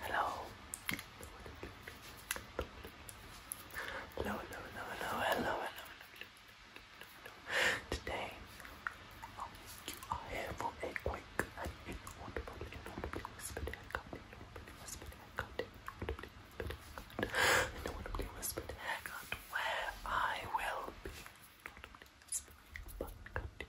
Hello. Hello, hello, hello, hello, hello, hello. Today, you here for a quick and inaudible, inaudibly whispered haircut, inaudibly whispered haircut, inaudibly whispered haircut, inaudibly whispered haircut, where I will be inaudibly whispering but cutting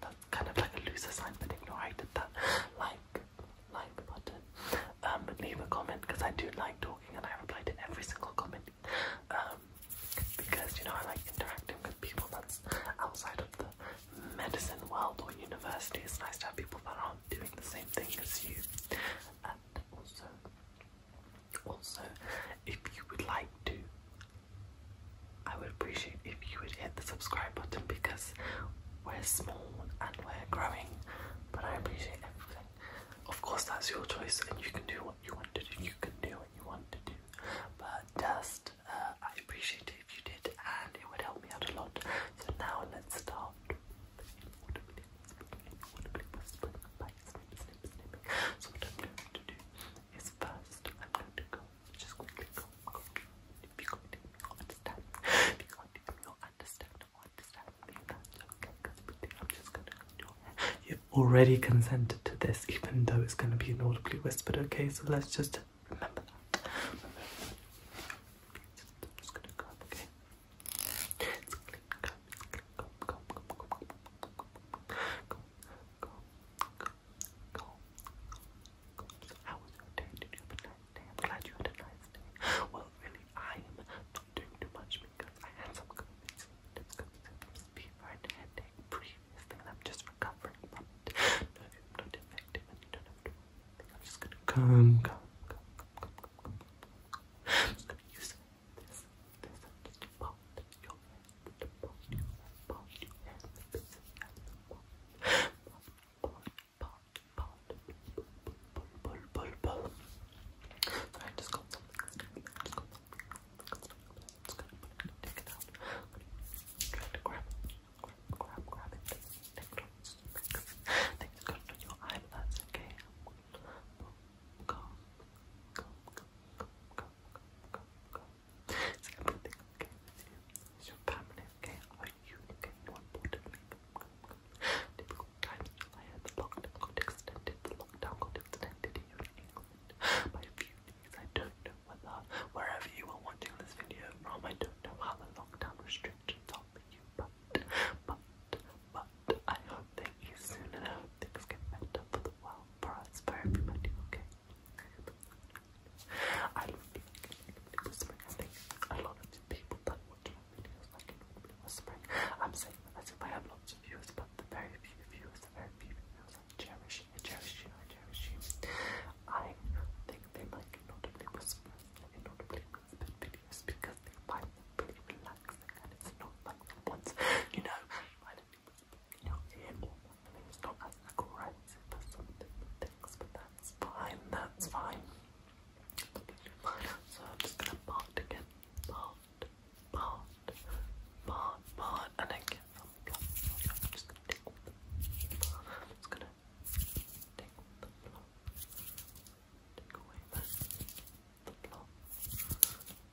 that's kind of like a loose assignment. Ignore I that. Like, like button. Um, leave a comment because I do like talking and I reply to every single comment. Um, because you know I like interacting with people that's outside of the medicine world or university. It's nice to have people that aren't doing the same thing as you. And also, also, if you would like to I would appreciate if you would hit the subscribe button because we're small and we're growing, but I appreciate everything. Of course, that's your choice, and you can do what you want to do. You can do what you want to do, but just uh, I appreciate if you did, and it would help me out a lot. So now let's start. So what I'm going to do is first I'm going to go you have already consented to this, even though it's going to be audibly whispered, okay? So let's just remember that. Go, go, go, go. How was your day? Did you have a nice day? I'm glad you had a nice day. Well, really, I am not doing too much because I had some COVID symptoms, COVID symptoms, fever and headache previously, I'm just recovering from No, i not infected, I'm just gonna come, come, come, come, come, come, come, come. I just got something. just got something. Just gonna take it out. Try to grab it. Grab, grab, grab it. Take it Take it on your eyelids, okay? Go, go, go, go, it's everything okay with you. It's your family okay? Are you okay? More difficult times The lockdown got extended. The lockdown got extended here in England by a few I don't know whether wherever you are watching this video from, I don't know how the lockdown restrictions are for you, but but but I hope they ease soon and I things get better for the prosper everybody, okay? I don't feel like I can whispering. I think a lot of the people that watch my videos like it would be whispering. I'm saying that as if I have lots of viewers, but the very few viewers, the very few viewers I cherish, I cherish you, I cherish you. I think they like notably whispering and notably whispered videos because they find them pretty relaxing and it's not like the ones, you know, I you So I'm just gonna part again, part, part, part, part, and then I'm just gonna take the I'm just gonna take the Take away the,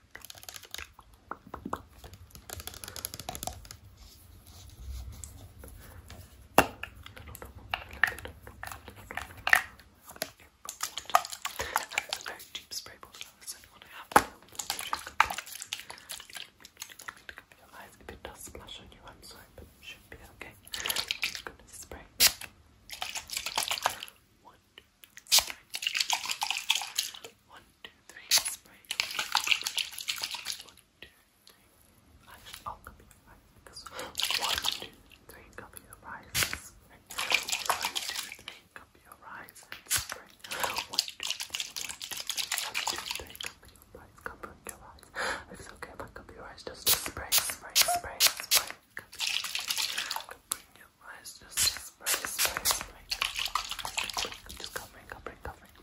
it's a very cheap spray bottle. That's the only one I have. Just if it does splash on you, I'm sorry, but should be okay. i spray. One, two, three. One, two, three, spray. One, two, three. I should all your eyes one, two, three, copy your eyes One, two, three, copy your eyes spray. One, two, three, one, two, three, one, two, three, copy your eyes, copy your eyes. It's okay if I copy your eyes, just spray, spray, spray, spray. Copy your your eyes. Just spray, spray, spray. Just covering, covering, covering.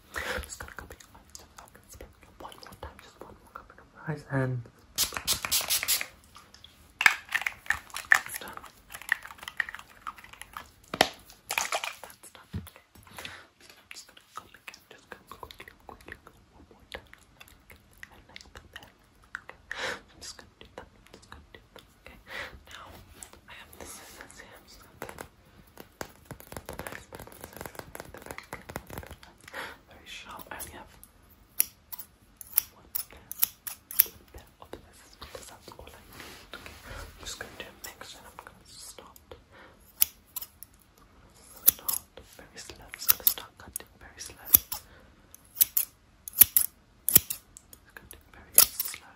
Just gonna cover Just gonna spray one more time. Just one more covering eyes and done. That's done. I'm just gonna go again. Just gonna quickly, quickly go one more time. Okay. like that. Okay. I'm just gonna do that. I'm just gonna do that. Okay, now I have this is the same stuff. Very sharp. I only have one pair. of this. That's all I need. Okay. I'm just going to mix and I'm going to stop. Start very slow. I'm going to start cutting very slow. It's going very slow.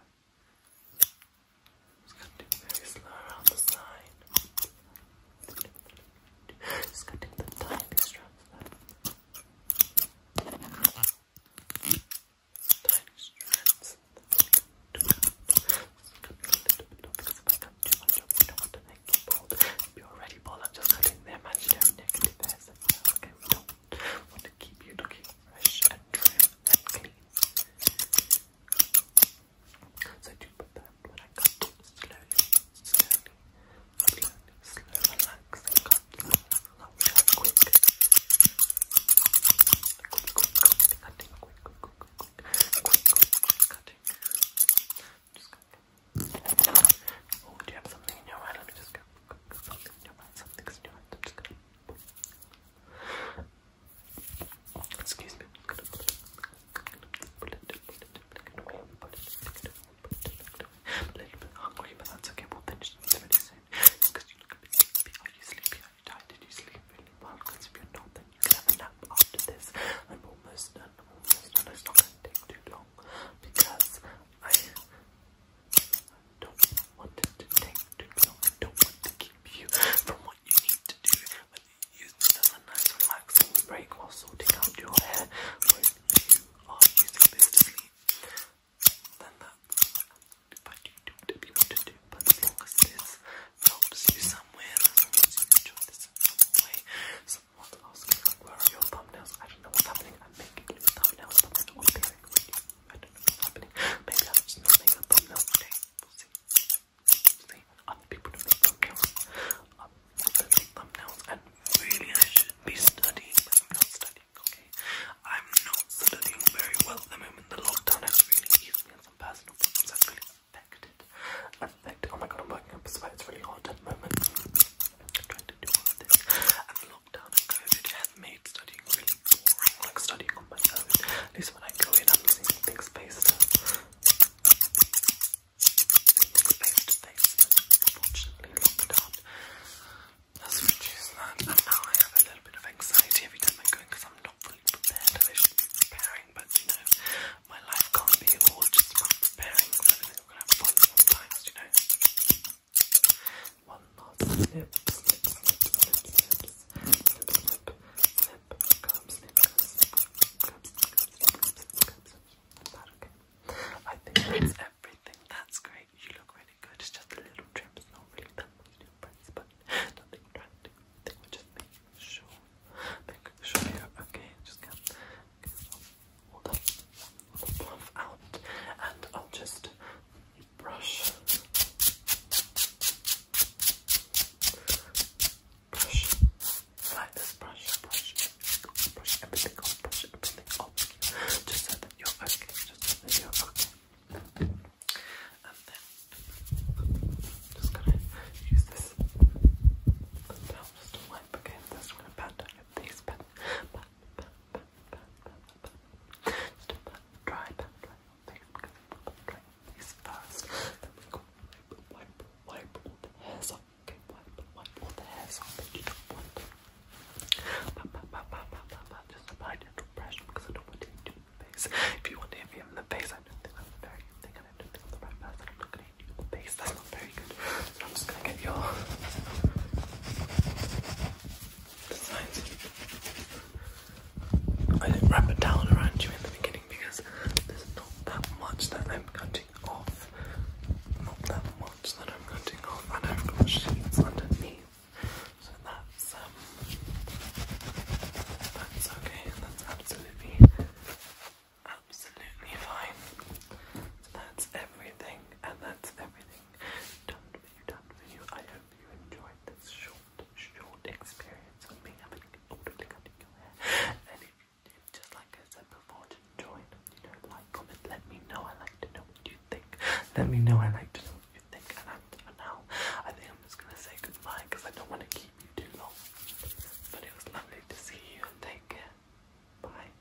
Just gonna do very slow on the side. Just going the tiny strands there. strands. do not want to make you bald. If you're already bald, just cutting the imaginary negative Okay, want to keep you looking fresh and trim and clean. So I do put that when I cut slowly, slowly, slowly, slowly, relax and cut, quick. Quick, quick, cutting, quick, quick, quick, quick, quick, cutting. Just cutting. Oh, do have something in your mind? Let me just go. Something's in your mind, something's in your mind. I'm just going Excuse me. a little bit hungry, but that's okay. We'll finish Because you look a bit sleepy. Are you sleepy? Are you tired? Did you sleep well? if you're not, then you can have a nap after this. I'm almost done. I'm almost done. It's not going to take too long because I don't want to to no, I don't want to keep you from what you need to do. Whether you use a nice relaxing break while sorting out your hair, or you are using this to sleep, then that's what you do what you want to do. But as long as this helps you somewhere, you enjoy this in some way, someone's asking like, where are your thumbnails? I don't know what's happening. I'm making new thumbnails, but I don't know what's happening. Maybe I just not makeup, but no, okay, we'll see. See, other people don't make thumbnails. Um, I don't and really I should be studying, I'm not studying, very well at the moment. The lockdown has really used me and some personal problems have really affected. Affected. Oh my god, I'm working up a sweat. It's really hard at the moment. trying to do all of this lockdown and COVID have made studying like studying on my own. At least when I go in, I'm seeing things based things based to face. Unfortunately, lockdown has reduced that, and now I have a little bit of anxiety every time I go in because I'm not fully prepared. I should be preparing, but you know, my life can't be all just preparing because I gonna have fun sometimes, you know. One last snip, I think that's everything. That's great. You look really good. It's just a little trim. It's not really that much to impress, but nothing drastic. just making sure. Making sure you're okay. Just get, Hold up fluff out, and I'll just brush, brush, like this, brush, brush, brush everything brush everything just so that you're okay, just so that you And then, just gonna use this, and just to wipe again, this, I'm going try, try, this first. Then we go wipe, wipe, all the hairs off. Okay, wipe, wipe all the hairs off that you don't want. Just apply gentle pressure because I don't want to hit you in the face. If you want to hit me in the face, I don't think very good thing, and I don't am the right person. I'm not going to hit you in the face. That's not very good. I'm just gonna get your designs. I wrap a towel around you in the beginning because there's not that much that I'm cutting off. Not that much that I'm cutting off, and I've got sheets underneath. So that's um that's okay, that's absolutely absolutely fine. So that's everything and that's everything done when you done with you. I hope you enjoyed this short, short experience of me having orderly cutting your hair. And just like I said before, just you know, like, comment, let me know. I like to know what you think. Let me know. I like to know what you think. And now, I think I'm just gonna say goodbye because I don't want to keep you too long. But it was lovely to see you. Take care. Bye.